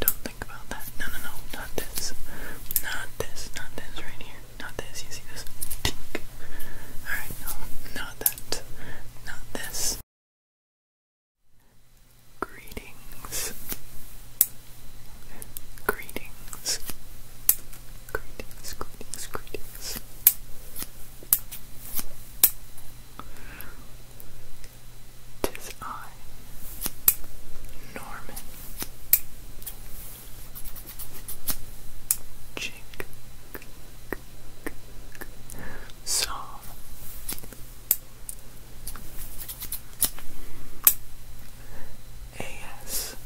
Don't think about that. No, no, no. Not this. Not this. Not this right here. Not this. You see this? Alright, no. Not that. Not this. Greetings. Greetings. Greetings, greetings, greetings. 'Tis I, Norman. Chink. Psalm. A.S.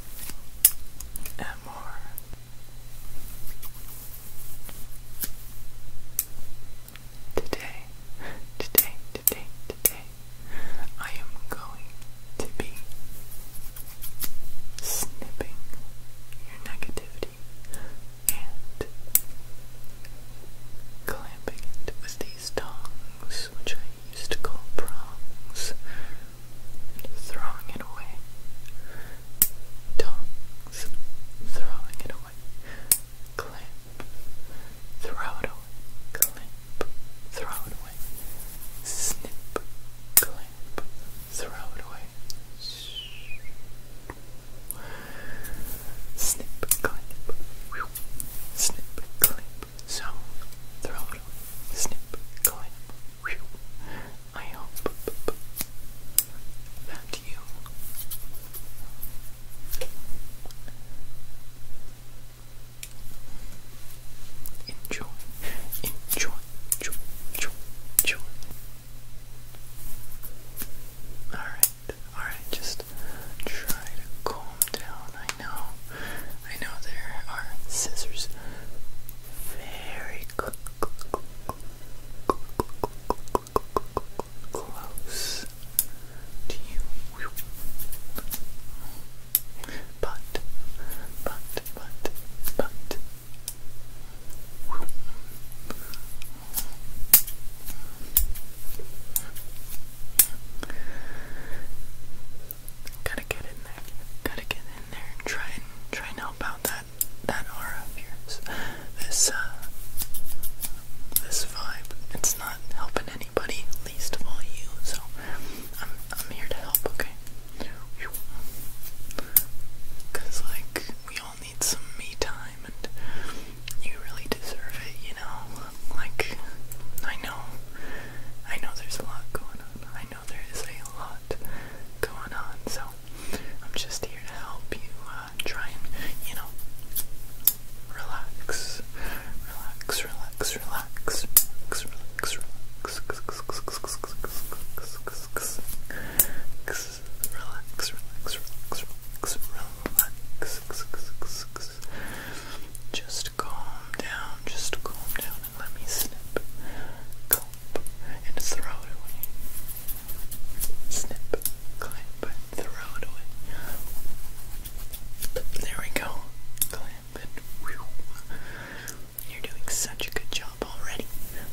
Today, today, today, today, I am going to be snipping your negativity and clamping it with these tongs, which I used to call prongs, and throwing it away. Tongs, throwing it away away, throw it away, clamp, throw it away, snip, clamp, throw it away, snip, clamp, snip, clamp, so throw it away, snip, clamp, I hope that you enjoy, enjoy, enjoy, enjoy, Alright, alright, just try to calm down. I know, I know there are scissors very close to you. But, but, but, but. Gotta get in there. Gotta get in there and try and try and help out that that that aura of yours, this uh, this vibe. It's not helping anybody, least of all you. So I'm I'm here to help. Okay. Cause like we all need some me time, and you really deserve it. You know, like I know, I know there's a lot going on. I know there is a lot going on. So I'm just here to help you uh, try and, you know, relax, relax, relax, relax, relax, relax, relax, relax, relax, relax, relax. Relax. Just calm down. Just calm down and let me snip. Calm and throw it away. Snip, clamp, throw it away. There we go. Clamp You're doing such a good job already.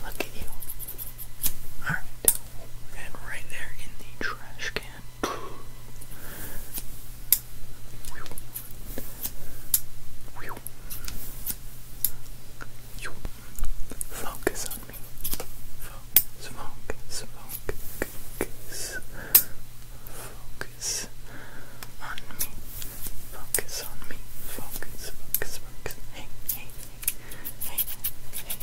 Look at you. Alright. And right there in the trash can. Focus on me. Focus, focus, focus. Focus on me. Focus on me. Focus, focus, focus. Hey, hey, hey, hey, hey,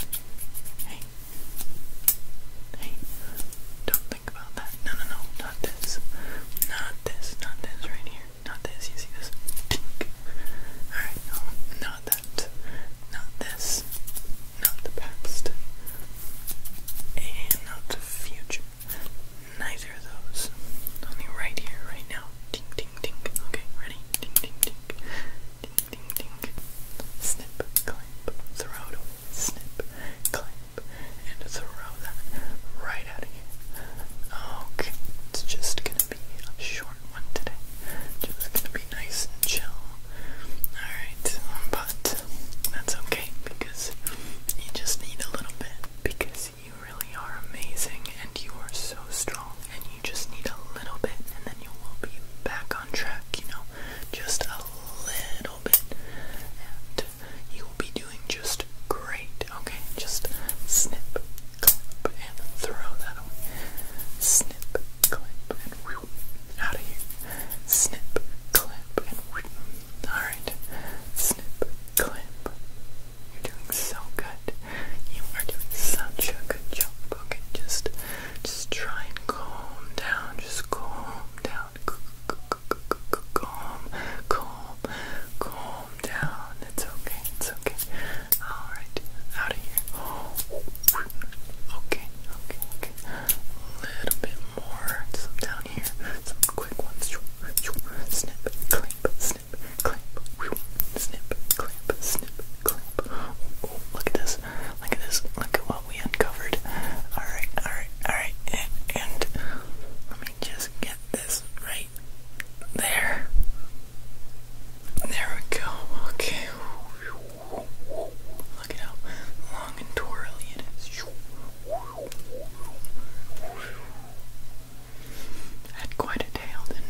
hey. Don't think about that. No, no, no. Not this. Not this. Not this right here. Not this, you see this? Alright, no, not that. Not this. Not the past. And not the future. Neither of those. Only right here, right now. Ding, ding, ding. Okay, ready? Ding, ding, ding. Ding, ding, ding. Snip, clamp, throw it Snip, clamp, and throw that right out of here. Okay, it's just gonna be a short one today. Just gonna be nice and chill. Alright, but that's okay because you just need a little bit. Because you really are amazing and you are so strong and you just need a little bit and then you will be back on track, you know? Just a little bit. And you will be doing just great, okay? Just snip, Snip, clip, and we whoop, out of here. Snip, clip, and whoop. Alright, snip, clip. You're doing so good. You are doing such a good job. Okay, just, just try and calm down. Just calm down. calm, calm, calm down. It's okay. It's okay. All right. Out of here. Okay. Okay. Okay. A little bit more. Some down here. Some quick ones. Snip. Clamp. Snip. Clamp. Snip. Clamp. Snip. Clamp. look at this. Look at this. Look at what we uncovered. All right. All right. All right. And me just get this right there. There we go. Okay. Look at how long and twirly it is. Had quite a tail, didn't it?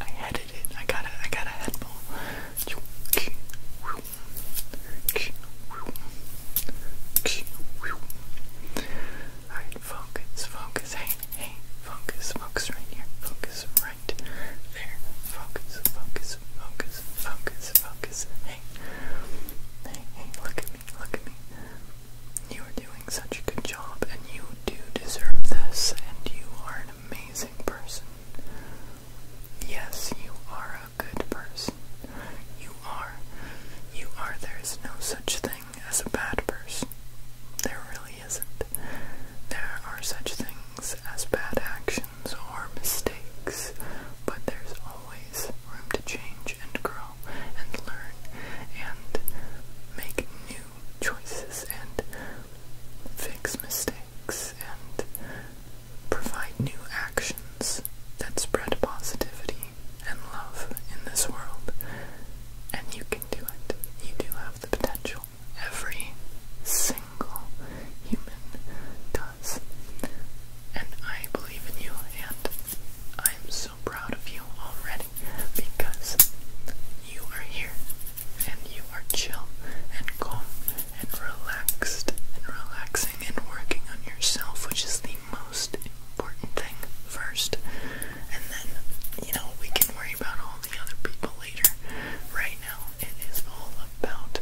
I headed it. I got a I got a head ball. Alright, focus, focus, hey, hey, focus, focus right here, focus right there, focus, focus, focus, focus, focus, hey. Hey, hey, look at me, look at me. You are doing such a good job, and you do deserve this, and you are amazing person. Yes, you are a good person. You are. You are. There is no such thing as a bad person. There really isn't. There are such things as bad actions or mistakes, but there's always room to change and grow and learn and make new choices and fix mistakes, and provide new actions that spread positivity and love in this world. And you can do it. You do have the potential. Every single human does. And I believe in you, and I'm so proud of you already because you are here and you are chill and calm and relaxed and relaxing and working on yourself, which is the most important thing first. And then, you know, we can worry about all the other people later. Right now, it is all about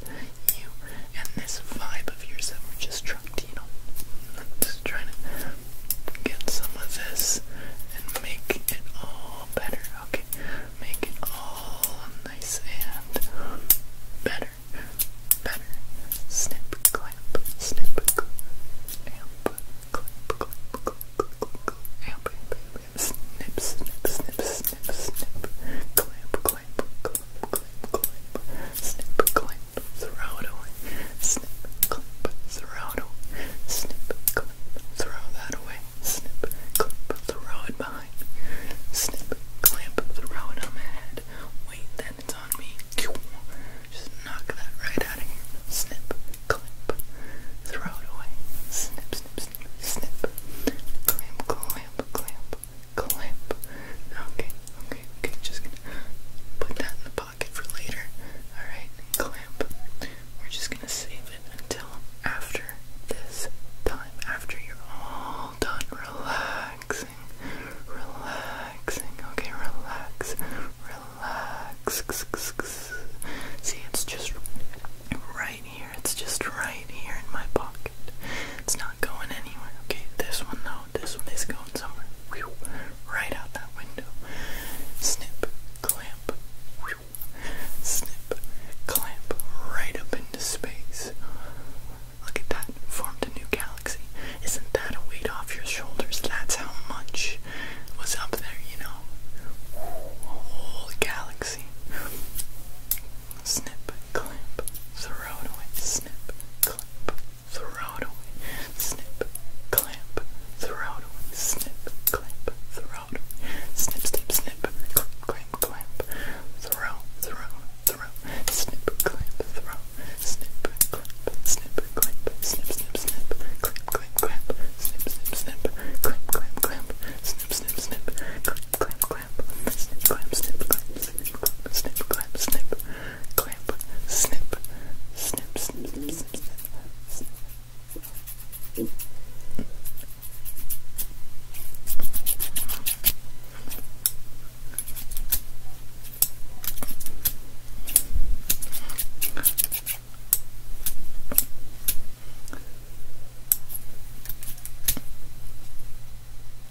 you and this vibe of yours that we're just trying to, you know, just trying to get some of this and make it all better. Okay, make it all nice and better. Better. Snip, clamp, snip, clamp, clamp, clamp, clamp, clamp, clamp, snip, snip, snip, snip, snip, clamp, clamp, clamp, clamp, clamp, snip, clamp, throw it away, snip, throw Snip, that away. Snip, clip, throw it behind. Snip, clamp, throw it on Wait, then it's on me. Just knock that right out of here. Snip, clip, throw it away. Snip, snip, snip, snip. Clamp, clamp, clamp, clamp. Okay, okay, okay. Just gonna put that in the pocket for later. Alright, clamp. We're just gonna save it until after this time. After you're all done relaxing. Relaxing. Okay, relax. Relax. See, it's just right here. It's just right here in my pocket. It's not going anywhere. Okay, this one though, this one is going Right out that window. Snip, clamp. Snip, clamp. Right up into space. Look at that. Formed a new galaxy. Isn't that a weight off your shoulders? That's how much was up there, you know? A whole galaxy. Snip, clamp. Throw it away. Snip, clamp throw it away, snip, clamp, throw it away, snip, clamp, throw it away, snip, snip, snip, clamp, clamp, throw, throw, throw, snip, clamp, throw, snip, clamp, snip, clamp, snip, snip, snip, clamp, clamp, clamp, snip, snip, snip, clamp, clamp, clamp, snip, clamp, snip, clamp, snip, clamp, snip clamp, snip, snip, snip, snip, snip,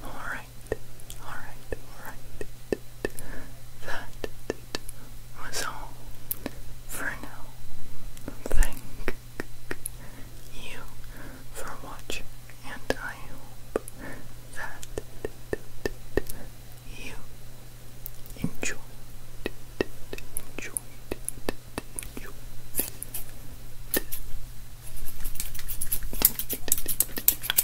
All right. Alright, alright, That was all for now. Thank you for watching, and I hope that you enjoyed, enjoyed, enjoyed.